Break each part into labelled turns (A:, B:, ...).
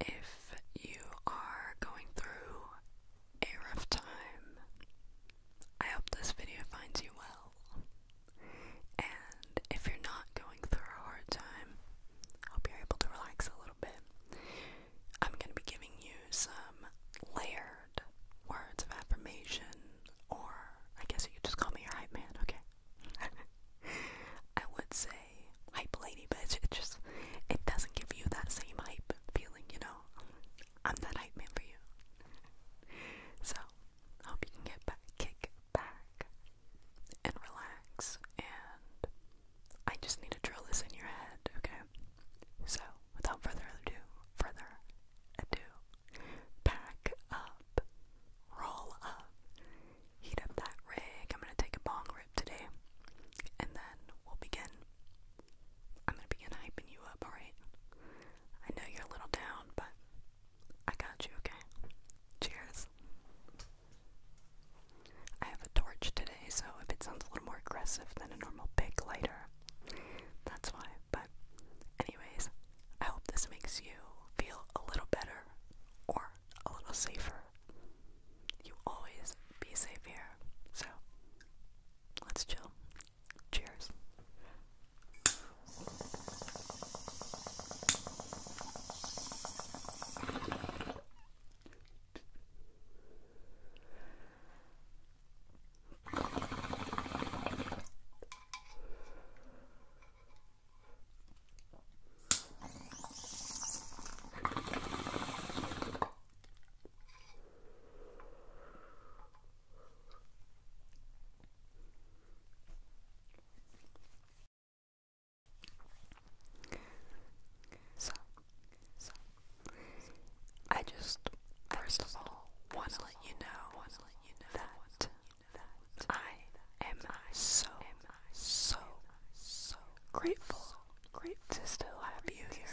A: If you are going through a rough time, I hope this video finds you well. And if you're not going through a hard time, I hope you're able to relax a little bit. I'm going to be giving you some layered words of affirmation, or I guess you could just call me your hype man, okay? I would say hype lady, but it just it doesn't give you that same hype feeling, you know. I'm that hype man for you. So hope you can get back, kick back, and relax. And I just need to drill this in your head, okay? So without further ado, further ado, pack up, roll up, heat up that rig. I'm gonna take a bong rip today, and then we'll begin. I'm gonna begin hyping you up, alright? I know you're a little down, but I got you, okay? Cheers. I have a torch today, so if it sounds a little more aggressive than a normal big lighter, that's why. But, anyways, I hope this makes you feel a little better or a little safer. You always be safe here. So, let's chill. Cheers. So, so, I just first of all want to let you know that I am so, so so grateful, grateful to still have you here.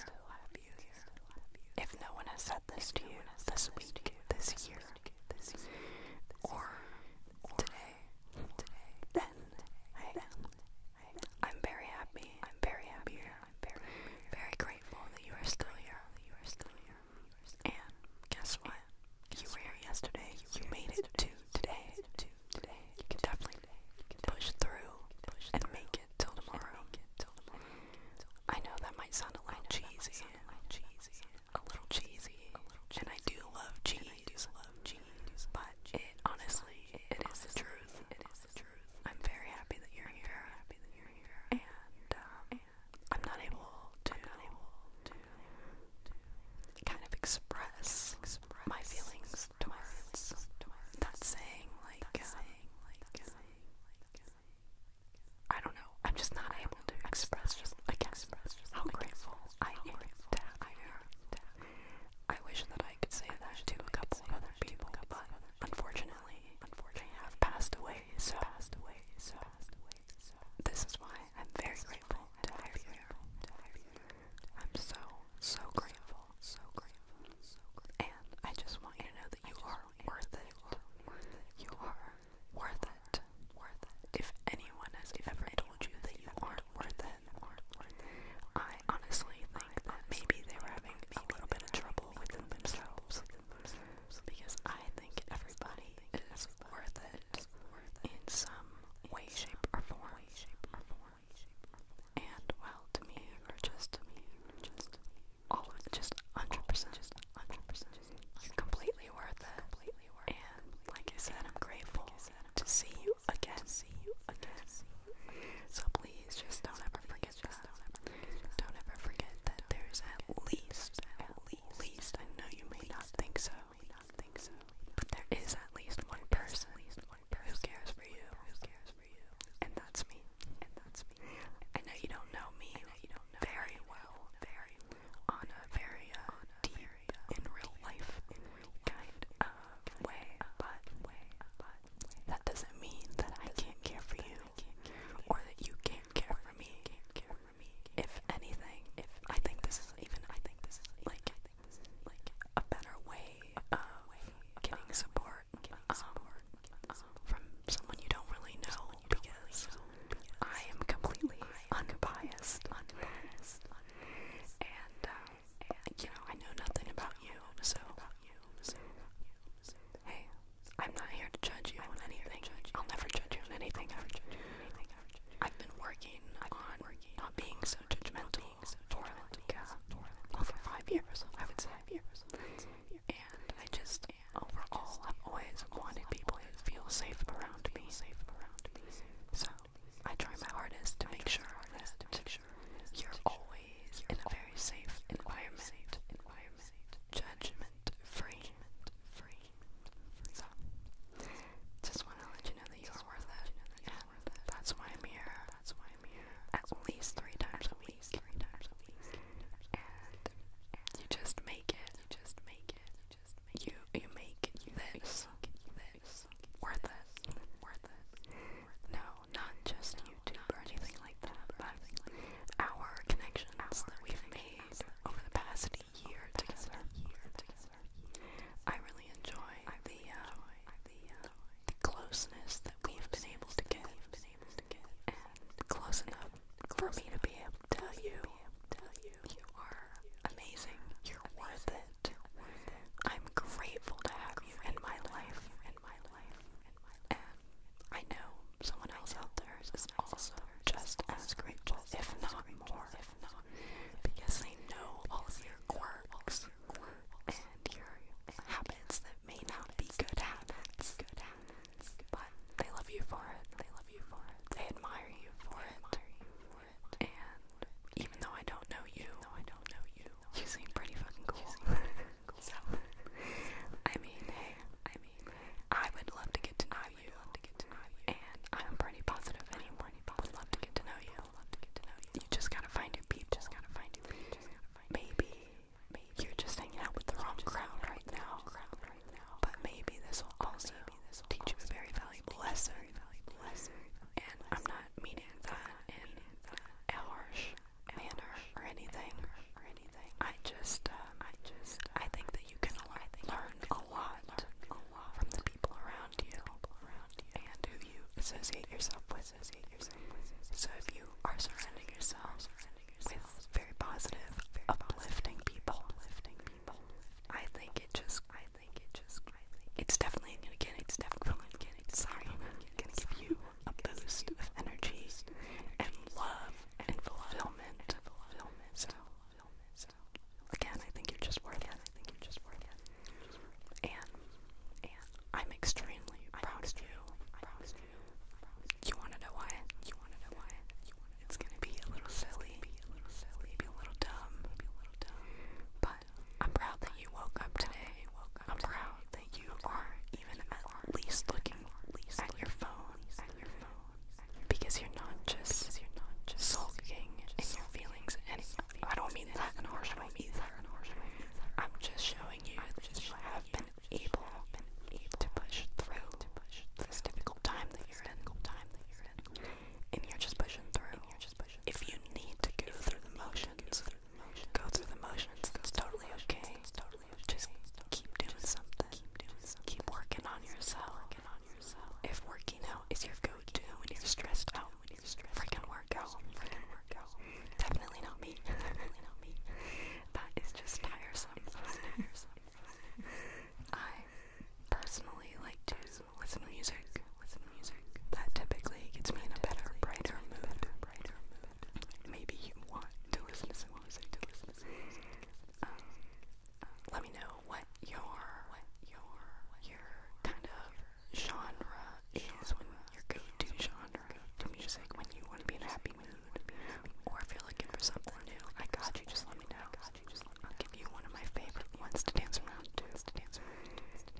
A: If no one has said this to you this week, this year, or today, then I am. I'm very happy. I'm very happy here. I'm very, very grateful that you are still here. You are still here. And guess what? You were here yesterday. You made it to today, today. You can definitely push through and make it till tomorrow. I know that might sound a little cheesy, a little cheesy, and I do love cheese, but it honestly, it is the truth. I'm very happy that you're here. Um, and I'm not able to kind of express, my feelings that saying, like, uh, I don't know, I'm just not able to express just, like, express how grateful I am I wish that I could say that to a couple of other people, but unfortunately, I have passed away, so passed away, so this is why I'm very grateful to have you. I'm so, so grateful, so grateful, so grateful. And I just want you to know that you are worth it. You are worth it. Worth it. If anyone has ever told you that you aren't worth it, I honestly think that maybe they were having a little bit of trouble within themselves. Because I think everybody is worth it it in some way, shape, or form. And well, to me, or just to me, just all of just 100%, just 100%, completely worth it. Completely worth it. And like I said, I'm grateful to see you again. See you again. So please, just don't ever forget that. Don't ever forget that there's at least, at least. I know you may not think so definitely not think so. But there is at least one person, at least one person who cares for you, who cares for you, and that's me. And that's me. I know you don't know me. You don't know very well, very well, on a very uh, deep, uh, in real life, in real kind of way. But that doesn't mean that I can't care for you, or that you can't care for me. If anything, if I think this is even, I think this is like like a better way of uh, getting support um, from someone you don't really know because I am completely unbiased, unbiased, and uh, you know I know nothing about you, so hey, I'm not here to judge you on anything. I'll never judge you on anything. I've been working on not being so so judgmental for like uh, over five years, I would say. And I just overall, I've always wanted people who feel safe around me. So I try my hardest to make sure that you're always in a very safe environment, judgment free. So just want to let to know that you are worth it. Yeah, that's why I'm here. That's why I'm here. At least three times a week. Three times a week. And you just make it. You just make it. You just make you you make this this worth it. Worth it. No, not just YouTube or anything like that, but our connections that we've made over the past I really enjoy uh, uh, uh, the closeness that we've been able to get, and close enough for me to be able to tell you, you, are amazing. You're worth it. I'm grateful to have you in my life. In my life. And I know someone else out there is also just as grateful, if not more because they know all of your quirks and your habits that may not be good habits. But they love you for it. They love you for it. They admire you for it. And even though I don't know you, you, seem pretty fucking cool. so I mean, hey, I mean, I would love to get to know you. I would love to get to know you. And I'm pretty positive anyone would love to get to know you. Love to get to know you. You just gotta find your people. Just gotta find your people. Maybe, maybe you're just hanging out with the wrong crowd right now. But maybe this will also teach you a very valuable lesson. And I'm not meaning that in a harsh manner or anything. Or anything. I just, um, I just, I think that you can learn a lot from the people around you and who you associate yourself with. So if you are surrounding yourself with very positive, uplifting people, I think it just, I think it just, it's definitely gonna get, it's definitely gonna give you a boost of energy and love and fulfillment. So film this out. Again, I think you're just worth it. I think you're just worth it. And, and I'm extremely I'm proud extremely of you. I'm proud of you. You wanna know why? You wanna know why? You wanna know it's gonna be a little silly. Be a little silly. Be a little dumb. Be a little dumb. But I'm proud that you woke up today. I'm proud that you are even at least looking at your phone. At your phone because you're not just sulking in your feelings, and I don't mean that in a harsh way I'm just showing you I have been able to push through this difficult time that you're in, and you're just pushing through. If you need to go through the motions, go through the motions. That's totally okay. Just keep doing something. Keep working on yourself. If working out is your go-to when you're stressed out, when you're freaking work out, freaking work out. Definitely not me. Definitely not me. That is just tiresome. tiresome. I personally like to listen to music. That typically gets me in a better, brighter mood. Brighter mood. Maybe you want to listen to some music. To listen to music. let me know what your your your kind of genre is when your go-to genre to music when you want to be in a happy mood or if you're for something new. I got you. Just let me know. I'll give you one of my favorite ones to dance around to. To dance around to.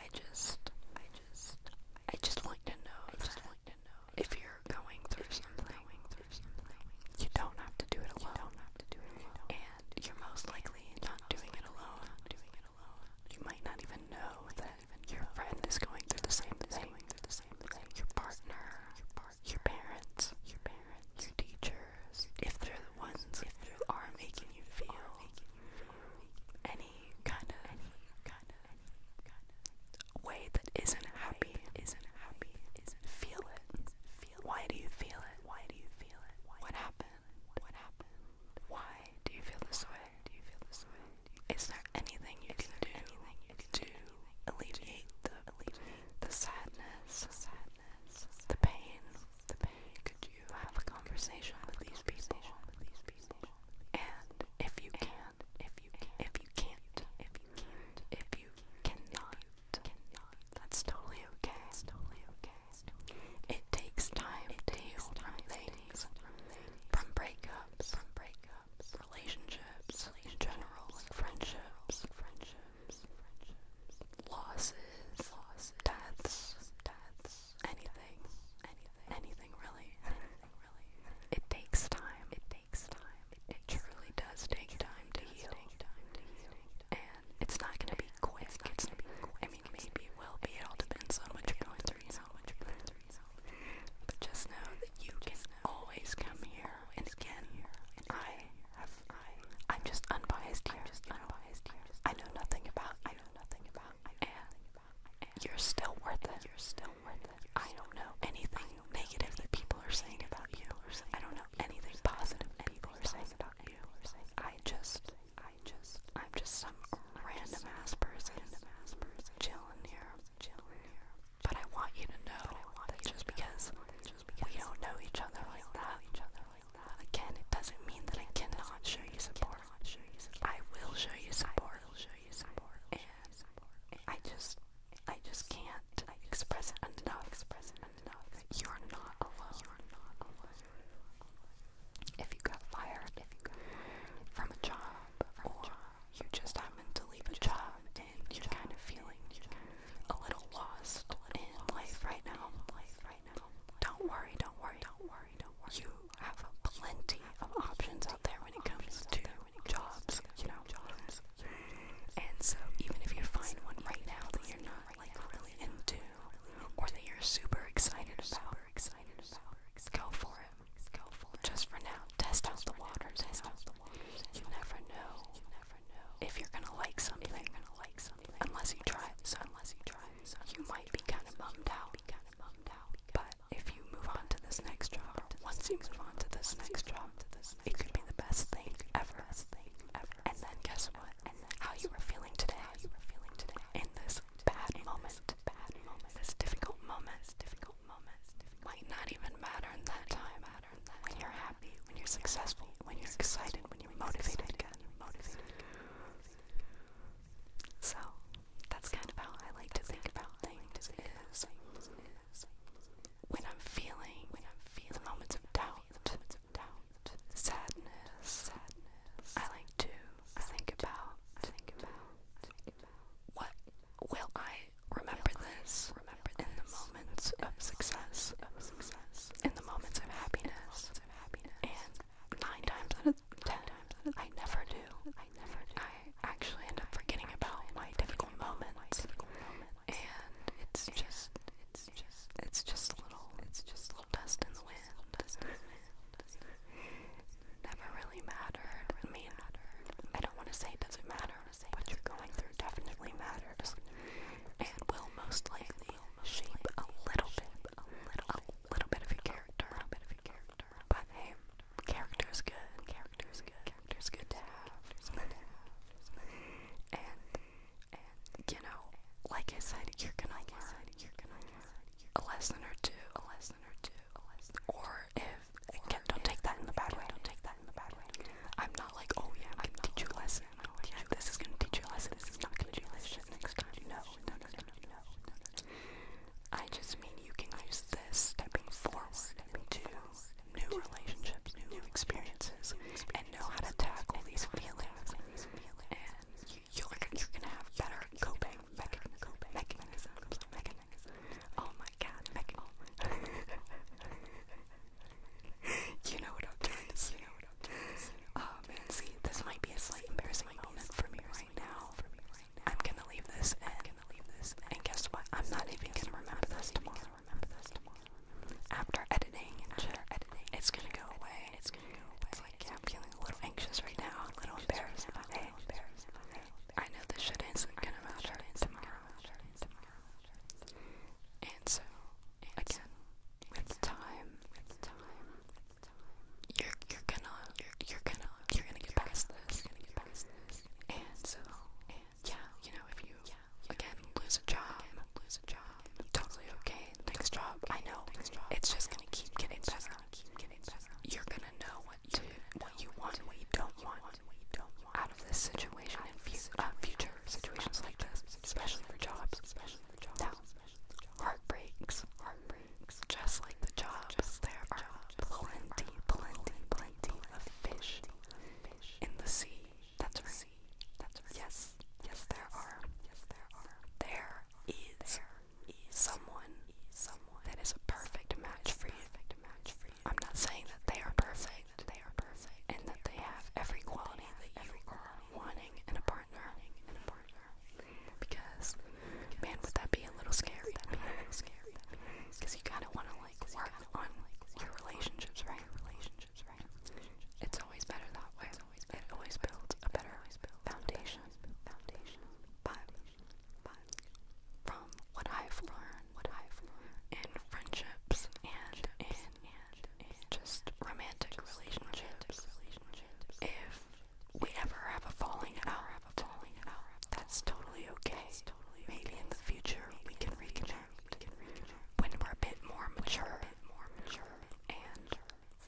A: I just, I just, I just like to know. I just like to know if you're going through something. You don't have to do it alone. You don't have to do it alone. And you're most likely not doing it alone. Doing it alone. You might not even know that your friend is going through the same thing. Your partner, your parents, your parents, your teachers, if they're the ones who are making you feel any kind of kind of way that isn't happy, isn't happy, isn't feel it why do you feel it? Why do you feel it? what happened? What happened? Why do you feel this way? Do you feel this way? Is there anything you can do to alleviate the the sadness? The sadness. The pain. The Could you have a conversation with these people? And if you can't, if you if you can't, if you can't, if you cannot that's totally okay. It takes time it to heal from breakups. From breakups. Relationships. in general. Like friendships. Losses. Deaths. Anything. Anything. Anything really. It takes time. It takes time. It, truly does take time to heal. It's not gonna be quick. It's not gonna be quick. I mean, maybe it will be. It all depends on what you're going through, you know. But just know that you can always come here. And again, I have. I'm just unbiased here. I know nothing about. I know nothing about. And you're still worth it. You're still worth it. I don't know anything negative that people are saying about you. I don't know anything positive people are saying about you. I just, I just, I'm just some random ass person, chilling here, but I want you to know that just because we don't know each other like that, again, it doesn't mean that I cannot show you support. I will show you support, and I just, I just can't express it enough enough. You are not alone. not alone. If you got fired, from a job, or you just happen to leave a job, and you're kind of feeling you're kind of a little lost a little in lost life right now. Don't worry, don't worry, don't worry, don't worry. You have plenty of options out there when it comes to jobs. You know, and so even if you find one right now that you're not really really into or that you're super excited about, excited about, go for it. Just for now. Test out the waters. Test out the waters. You never know. You never know if you're gonna like something. you're gonna like something. Unless you try it. So unless you try it. So you might be kind of bummed out. But if you move on to this next job, once you move on to this next job, on to this. It could be the best thing ever. And then guess what? And then how you were feeling today. How you were feeling today. In this bad moment. Bad moment. This difficult moment. This difficult moment. Might not even matter in that time. Matter in that when you're happy. When you're successful. When you're excited. When you're motivated again. Motivated. So that's kind of how I like to think about things. Is when I'm feeling, when I'm feeling the moments of doubt, the moments of sadness, sadness. I like to think about, think about, think about what will I remember this, remember in the moments of success, of success, in the moments of happiness, of happiness. and nine times out of ten, times, I never do. I never do. I actually end up forgetting about my difficult moments, and it's just It's. It's just a little it's just a little dust in the wind. Never really mattered. I mean, I don't want to say doesn't matter. What you're going through definitely matters, and will most likely shape a little bit, a little, a little bit of your character. A bit of your character. But hey, character is good. Character is good. Character is good And and you know, like I said, you're gonna like learn, I said, you're gonna learn a lesson or two, a lesson or two, a lesson. Or if again, don't take that in the bad way. Don't take that in the bad way. I'm not like, oh yeah, I'm gonna teach you a lesson. Oh, yeah, this is gonna teach you a lesson. This is not gonna do this shit next time. No, no, no, no, no, no. I just mean you can use this stepping forward to new relationships, new experiences, and know how to tackle these feelings. And you're, gonna have better coping mechanisms. Oh my god, oh. you know what I'm trying to oh, see, this might be a slight embarrassing moment for me right now. I'm gonna leave this and, guess what? I'm not even gonna remember this tomorrow. After editing After editing, it's gonna go away. It's gonna go away. I'm feeling a little anxious right now, a little embarrassed I know this shit isn't gonna matter tomorrow. And so, again, with time, you're you're gonna you're gonna you're gonna get past this. And so, yeah, you know, if you, again, lose, a job, totally okay, next job, I know, it's just gonna keep getting better, you're gonna know what to, what you want and what you don't want out of this situation uh, and future situations like this, especially for jobs, now, heartbreaks, heartbreaks, just like the jobs, there are plenty, plenty, plenty of fish in the sea, that's right see. That's right. Yes. Yes, there are. Yes, there are. There is, there is someone, someone that is a perfect match for you. Perfect match for you. I'm not saying that they are perfect. That they are perfect. And that they have every quality that you are wanting in a partner. In a partner. Because, man, would that be a little scary? That'd be a little scary. Because you kind of want to like work on your relationships, right? Your relationships relationships, right? It's always better that way. It's always better. It always builds a better foundation. Foundation. But, but from what I've learned, what I've learned in friendships and in and, and just romantic relationships, if we ever have a falling out, that's totally okay. Maybe in the future we can reconnect when we're a bit more mature, and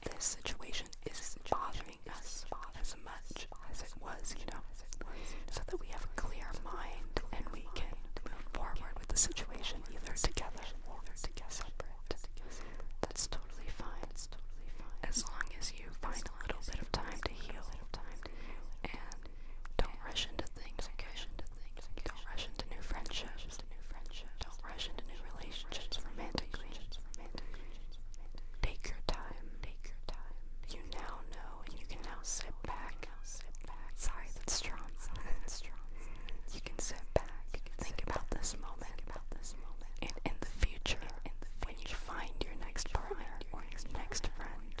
A: this situation is bothering us as much as it was, you know, so that we have a clear mind and we can move forward with the situation either together or separate. That's totally fine. As long as you find a little bit of time to heal and don't rush into things, okay? Don't rush into new friendships. Don't rush into new relationships romantically. Take your time. Take your time. You now know, and you can now sit back. Sorry, that's strong. You can sit back. Think about this moment. And in the future, when you find your next your next friend,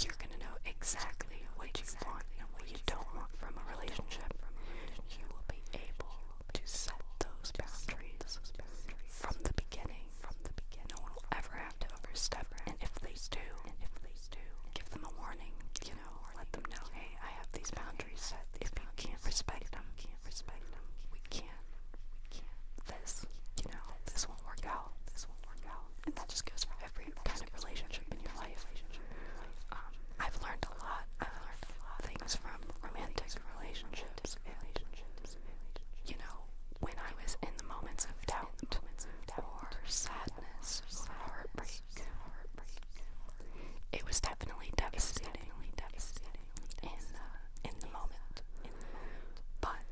A: you're gonna know exactly what you and what you don't want from a relationship, you will be able to set those boundaries from the beginning. no one will ever have to overstep. And if they do, give them a warning. or let them know, hey, I have these boundaries set. If you can't respect them, We can't. We can't. This, you know, this won't work out. This will work out. And that just goes for every kind of relationship in your life. Um, I've learned a lot. I've learned a lot things from romantic things relationships. You know, when I was in the moments of doubt, moments of doubt or sadness, or heartbreak, it was definitely devastating. Definitely devastating in uh, in the moment. In the moment. But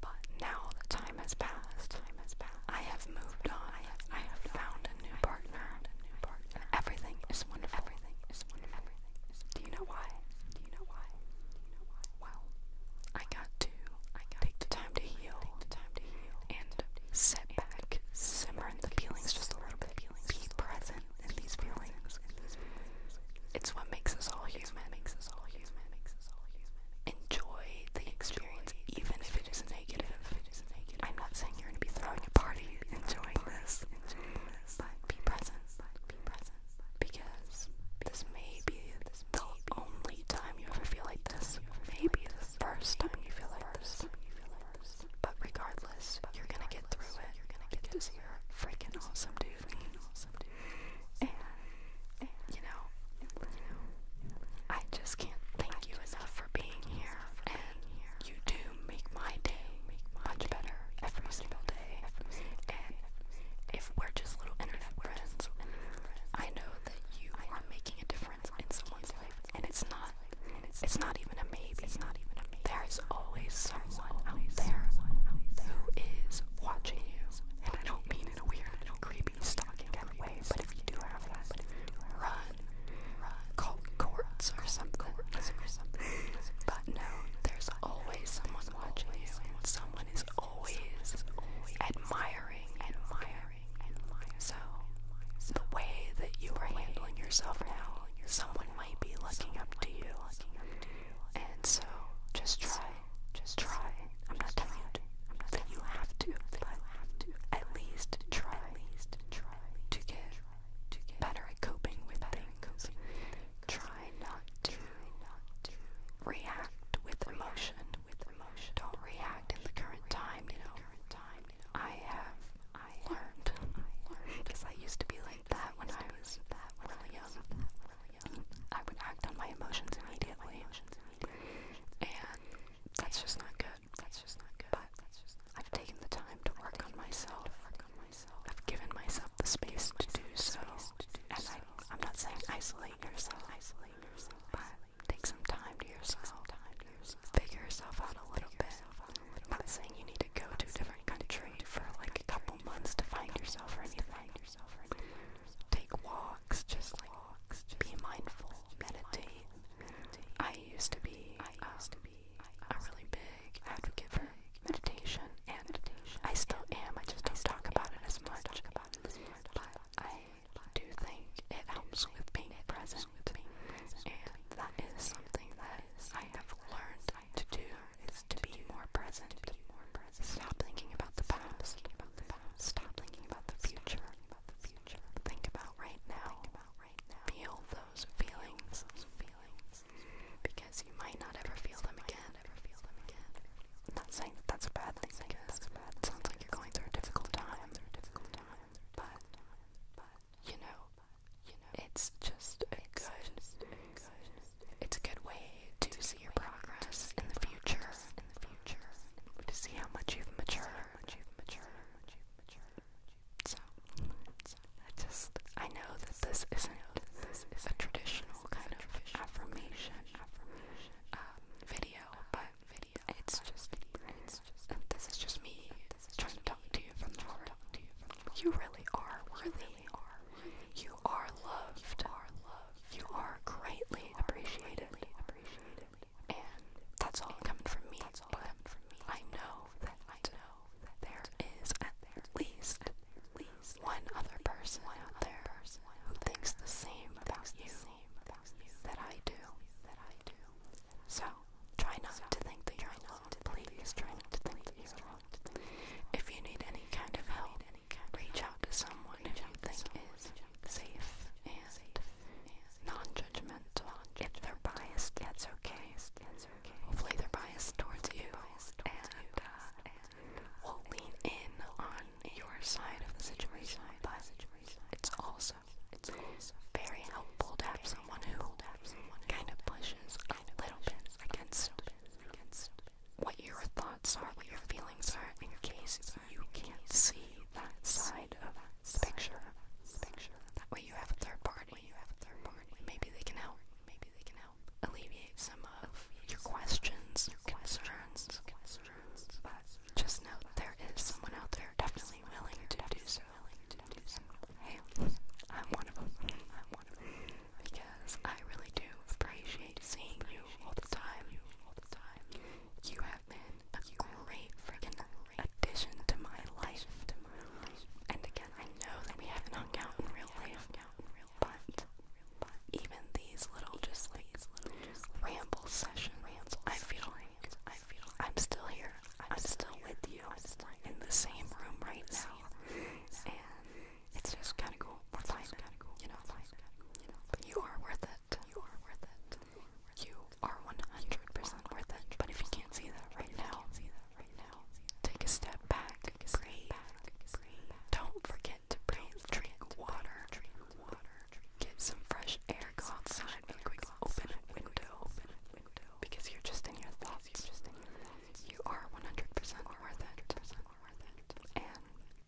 A: but now the time time has passed. Time has passed. I have moved on. I have, I have found a new partner. A new partner. Everything is wonderful. Everything is wonderful. Everything is. Do you know why? Do you know why? Do you know why? Well, I got to. I got take the time to heal. Take the time to heal. And set back, simmer in the feelings just a little bit. Be present in these feelings. It's what makes us all human. Makes us all human. Makes us all human enjoy the experience, even if it is negative. I'm not saying you're gonna be throwing a party enjoying this, enjoying but be present, be present, because this may be the only time you ever feel like this. Maybe the first time you feel like this. But regardless, you're gonna get through it. You're gonna get this. You're freaking awesome, dude. And, you know, I just can't thank you enough for being here. you do make my day much better every single day. And if we're just little internet friends, I know that you are making a difference in someone's life. And it's not, it's not even a maybe. It's not even a maybe. There's always someone out there who is watching you. And I don't mean in a weird, creepy, stalking kind of way but if you do have that, run, run, call courts or something, or something. But no, there's always someone watching you, and someone is always admiring, admiring, admiring. So the way that you are handling yourself now, someone might be looking up to you, and so just try just try. I'm not telling you I'm not that you have to. have to. at least try. At least try to get better at coping with things. Try not to react with emotion. With emotion. Don't react in the current time. You know. I have. I learned. I learned Because I used to be like that when I was that really young yeah. I would act on my emotions immediately. My emotions immediately. And that's just not good. That's just not good. But that's just not I've taken the time to work on myself. Work on myself. I've given myself the space to do so. And I, I'm not saying isolate yourself. Isolate yourself. But take some time to yourself. Time to yourself. Figure yourself out a little bit. I'm not saying you need to go to a different country for like a couple months to find yourself or anything. Take walks, just like be mindful, meditate. I used to be, I used um, to be a really big advocate for meditation, and I still am. I just don't talk about it Talk about it as much. But I do think it helps with being present, and that is something that I have learned to do: is to be more present. Stop thinking about the past. Stop thinking about the future. Stop Think about right now. Feel those feelings. Because you might not ever feel them again. I'm not saying that that's a bad thing. Because it sounds like you're going through a difficult time. But, you know, it's just a good. It's a good way to, see your progress in the future, in the future, to see how much you've matured, how much you've matured, much you've matured. So, I just, I know that this isn't, this is a traditional kind of affirmation, affirmation, um, video, but video, it's just, it's just, this is just me trying to talk to you from the heart. You really are really are. You are loved. You are loved. You are greatly appreciated. And that's all coming from me. That's all coming from me. I know that I know that there is at least at least one other person out there who thinks the same about you that I do. So try not to think that you're alone. Please try not to think that you're If you need any kind of help, reach out to someone who you think is safe, and non-judgmental. If they're biased, that's okay. Hopefully they're biased towards you, and uh, will lean in on your side of the situation, but it's also very helpful to have someone who kind of pushes a little bit against what your thoughts are, what your feelings are, in case you can't see that side of the picture. That way you have a third party. Maybe they can help. Maybe they can help alleviate some of your questions, your concerns, concerns. But just know there is someone out there definitely willing to do so. Hey, I'm one of them. I'm one of them because I really do appreciate seeing you all the time. You have been a great freaking addition to my life. And again, I know that we haven't hung out in real life, but even these little just like ramble sessions, I feel like I'm still here. I'm still with you in the same room right now, and it's just kind of cool cool. We're fine. Cool. You know, fine. You know, but you are worth it. You are worth it. You are 100% worth it. But if you can't see that right now, see that right now. Take a step back. Take a step back. Don't forget to breathe. Drink water. Drink water. Get some fresh air. Go outside. Really quick. Open a window. Open a window. Because you're just in your thoughts. You're just in your thoughts. You are 100% worth it. And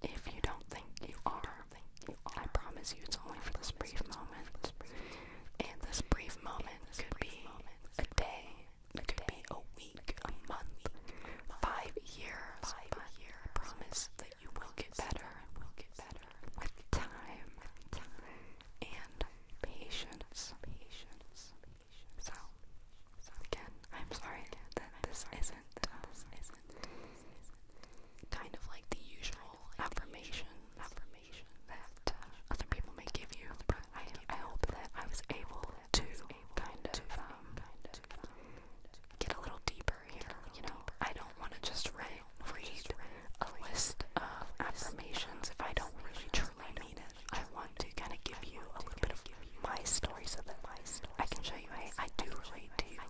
A: if you don't think you are, I promise you it's only for this brief moment. And this brief moment could be a day, it could be a week, a month, five years. I promise that you will get better. with time, and patience. Patience. So, again, I'm sorry that this isn't. Um, kind of like the usual affirmation affirmation that uh, other people may give you. I, hope that I was able to kind of um, um, um, get a little deeper here. You know, I don't want to just read read a list of affirmations if I don't really truly mean it. I want to kind of give you a little bit of my story so that my story I can show you hey I do relate to you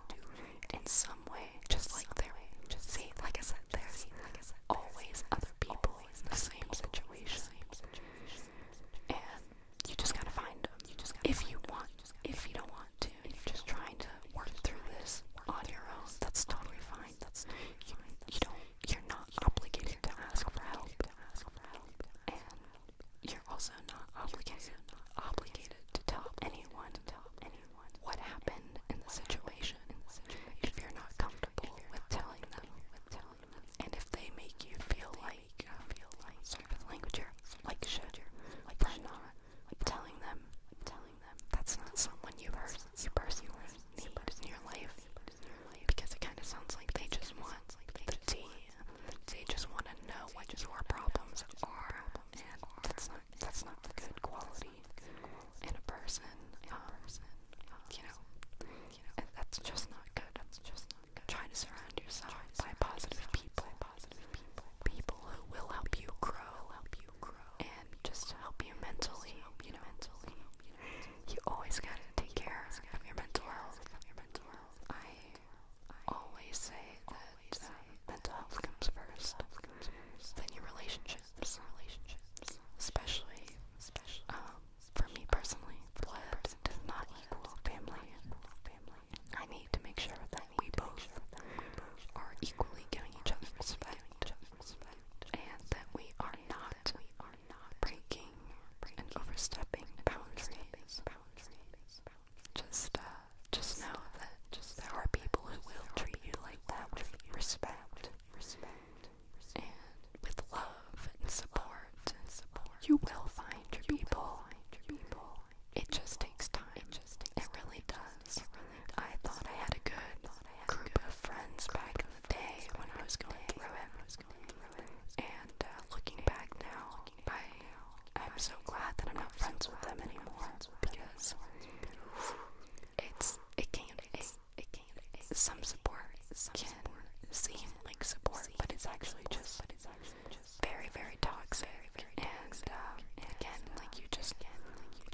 A: in some way just like there just see like I said there's always other people in the same situation and you just gotta find them if you want if you don't want to If you're just trying to work through this on your own that's totally fine that's fine. you don't you're not obligated to ask for help and you're also not obligated, obligated to tell anyone, to tell anyone what happened in the situation. If you're not comfortable with, telling them, with telling them, and if they make you feel like, you uh, feel like sort of language, like should, like should not, like telling them, telling them that's not someone you heard, you personally need in your life, because it kind of sounds like they just want the tea they just want to know what your problems are, and that's not that's not a good quality in a person. Um, you know, and that's just not good. Try to surround yourself by positive people, people who will help you grow, and just help you mentally. You know, you always gotta take care of your mental health. I I always say that uh, mental health comes first, then your relationships, especially, um, for me personally, blood does not equal family. I need to make sure that we both are equally giving each other respect, and that we are not breaking and overstepping boundaries. Just, uh, just know that just there are people who will treat you like that with respect, respect, and with love and support. And support. You will find your people. It just takes time. It really does. I thought I had a good group of friends back in the day when I was going through it, and uh, looking back now by. I'm so glad that I'm not friends with them anymore because it's it can't it's, it can some support can seem like support, but it's actually just very very toxic. And uh, again, like you just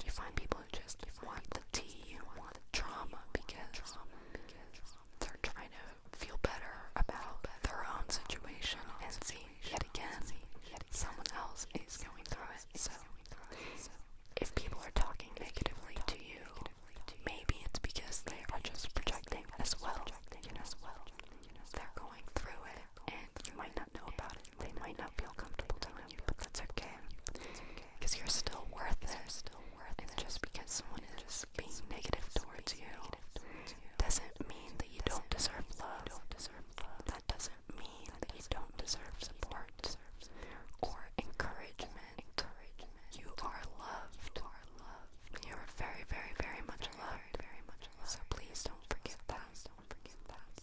A: you find people who just want the tea, want the drama because they're trying to feel better about their own situation and see yet again someone else is going through it. So if people are talking negatively to you, maybe it's because they are just projecting as well. You know, they're going through it and you might not know about it. They might not feel comfortable telling you, but that's okay. Because you're still worth it. And just because someone is being negative towards you doesn't mean that you don't deserve love. That doesn't mean that you don't deserve support or encouragement. You are loved. You are very, very, very much loved. So please don't forget that.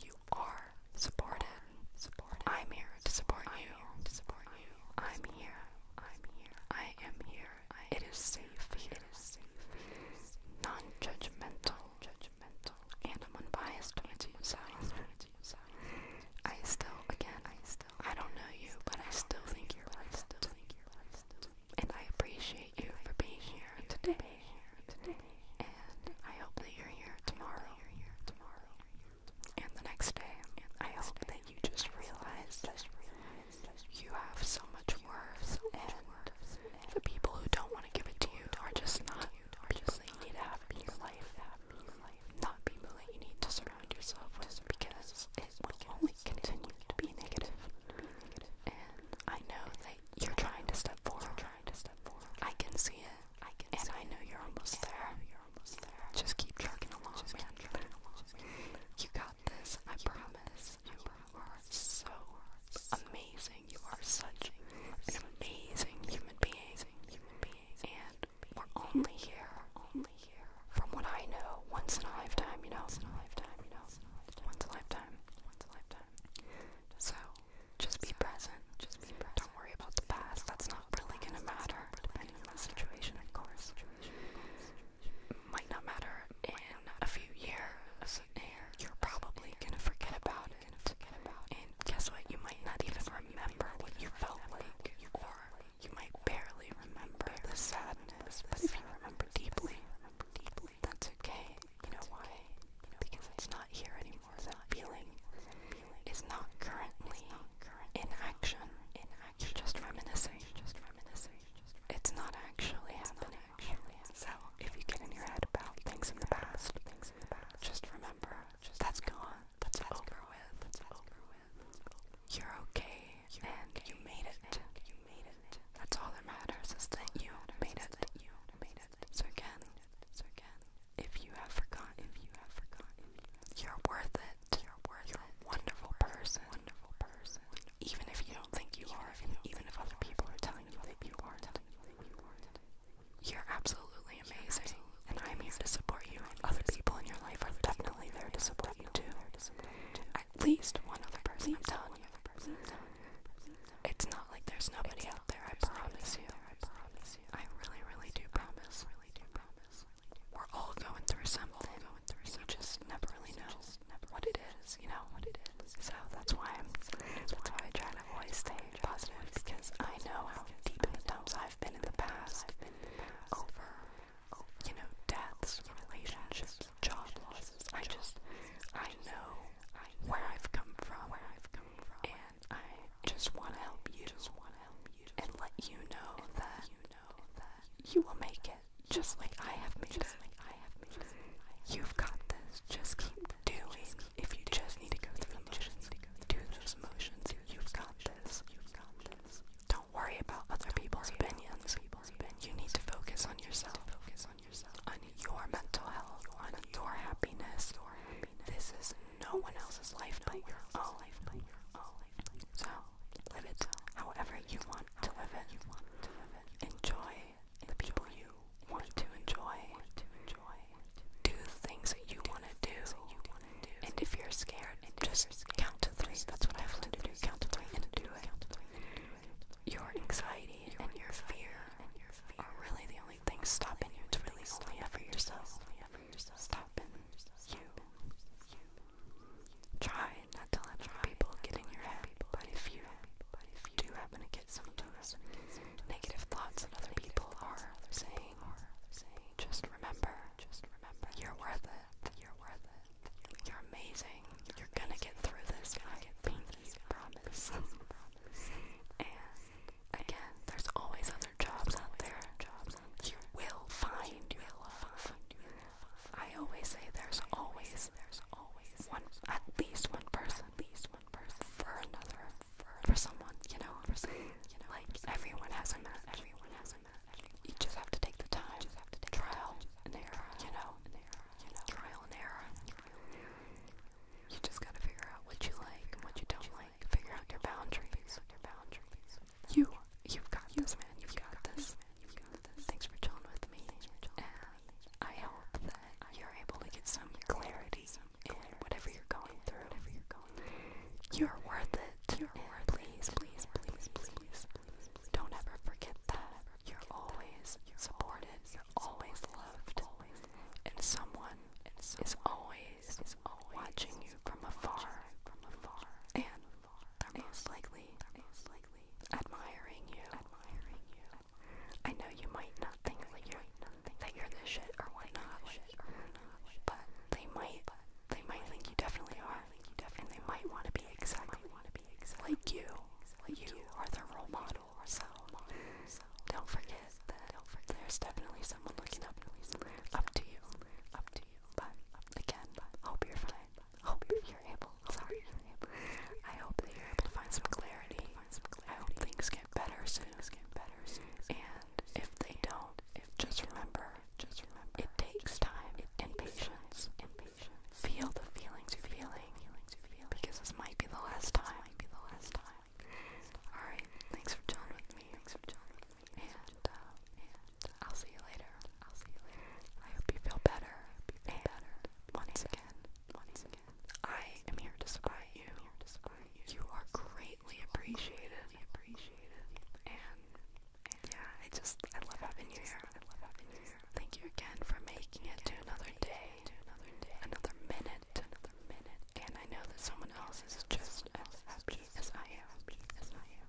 A: You are supported. I'm here to support you. I'm here. I'm here. I am here. It is safe. It is safe non-judgmental, judgmental, and I'm unbiased when you size. I still, again, I still, I don't know you, but I still think you're Still think you're right. And I appreciate you for being here today. And I hope that you're here tomorrow. And the next day, And I hope that you just realize that you have so much worth, and the people who don't want to give it to you are just not people that you need to have in your life, not people that you need to surround yourself with, because it will only continue to be negative. And I know that you're trying to step forward. I can see it, and I know you're almost there. Just keep trucking along. You got this. I promise. You are so amazing. You are such an amazing human being. And we're only here, only here. From what I know, once in a lifetime, you know. Once in a lifetime, you know. Once a lifetime. Once in a lifetime. So just be present. Just be present. Don't worry about the past. That's not really gonna matter. Depending on the situation, of course might not matter in a few years, and you're probably gonna forget about it. And guess what? You might not even remember what you felt like, you were. you might barely remember the sadness, but if you remember deeply, that's okay. You know why? Because it's not here anymore. That feeling is not currently in action. You're just reminiscing. It's not actually happening. actually so if you get in your head about things in the past, things in the past, just remember just that's gone. That's, that's over with. That's over with. You're okay, and you made it. That's all that matters is that you made it. You made it. So again, so again, if you have forgotten, if you have forgotten, you're worth it. You're worth it. You're a wonderful person. Even if you don't think you are, even if other people are telling you that aren't, you're absolutely amazing. And I'm here to support you. And other people in your life are definitely there to support you too. At least one other person. i telling you. It's not like there's nobody out there. I promise you. I really, really do promise. We're all going through something. You just never really know just remember what it is, you know, what it is. So that's why I'm, that's why I try to always stay positive because I know how deep in the dumps I've been in the past over, you know, deaths, relationships, job losses. I just, I know where I've come from, where I've come from, and I just want to help you, and let you know that know that you will make it, just like I have made just it. Like I have made it. You've got this. Just keep doing. Just keep if you doing. just need to go through the motions, do those motions. You've got this. You've got this. Don't worry about other people's opinions. People's opinions. You need to focus on yourself. Focus on yourself. On your mental health. On your happiness. Your happiness. This is no one else's life but your own. Life but your own. So live it however you want want to live in. You want to live in. Enjoy the people you want to enjoy. Do the things that you want to do. And if you're scared, just count to three. That's what I have to do. Count to three and do it. Your anxiety and your fear are really the only things stopping you. It's really only ever yourself. Stop in you. Try and not to let other people get in your head. But if you do happen to get some of those negative thoughts that other people are saying, just remember, just remember, you're worth it. You're worth it. You're amazing. You're gonna get through this. I get through this. Promise. And again, there's always other jobs out there. You will find your love. I always say there's always there's always one at least one person, at least one person for another, for, for someone, you know, for someone, you know, like everyone has a match, everyone has a match. You just have to take the time, just have to take trial and error, you know, you know, trial and error. You just gotta figure out what you like and what you don't like. Figure out your boundaries. You, you've got this, man. You've got this. Thanks for chilling with me. and I hope that you're able to get some clarity in whatever you're going through. you're worth it. You're worth please, please, please, please, please. Don't ever forget that. You're always supported. always loved. And someone is always watching you from afar. They're most admiring you. Admiring you. I know you might not think that you're that you're the shit or whatnot, but they might, they might think you definitely are, and they might want to be exactly like you. You are the role model, so don't forget that there's definitely someone looking up, up to you, up to you. But again, hope you're fine hope you're able. Sorry, I hope that you're able to find some clarity. I hope things get better soon. And if they don't, just remember, just remember, it takes time and patience. Feel the feelings you're feeling, because this might be the last time. All right. Thanks for chilling me. Thanks for chilling me. And. Uh, uh I'll see you later. I'll see you later. I hope you feel better. I hope you feel better. Once again, once again, I am here to support you. here to support you. You are greatly appreciated. Appreciated. And, and yeah, I just I love having you here. I love having you here. Thank you again for making it to another day, to another day, another minute, another minute. And I know that someone else is just as happy as I am. As I am.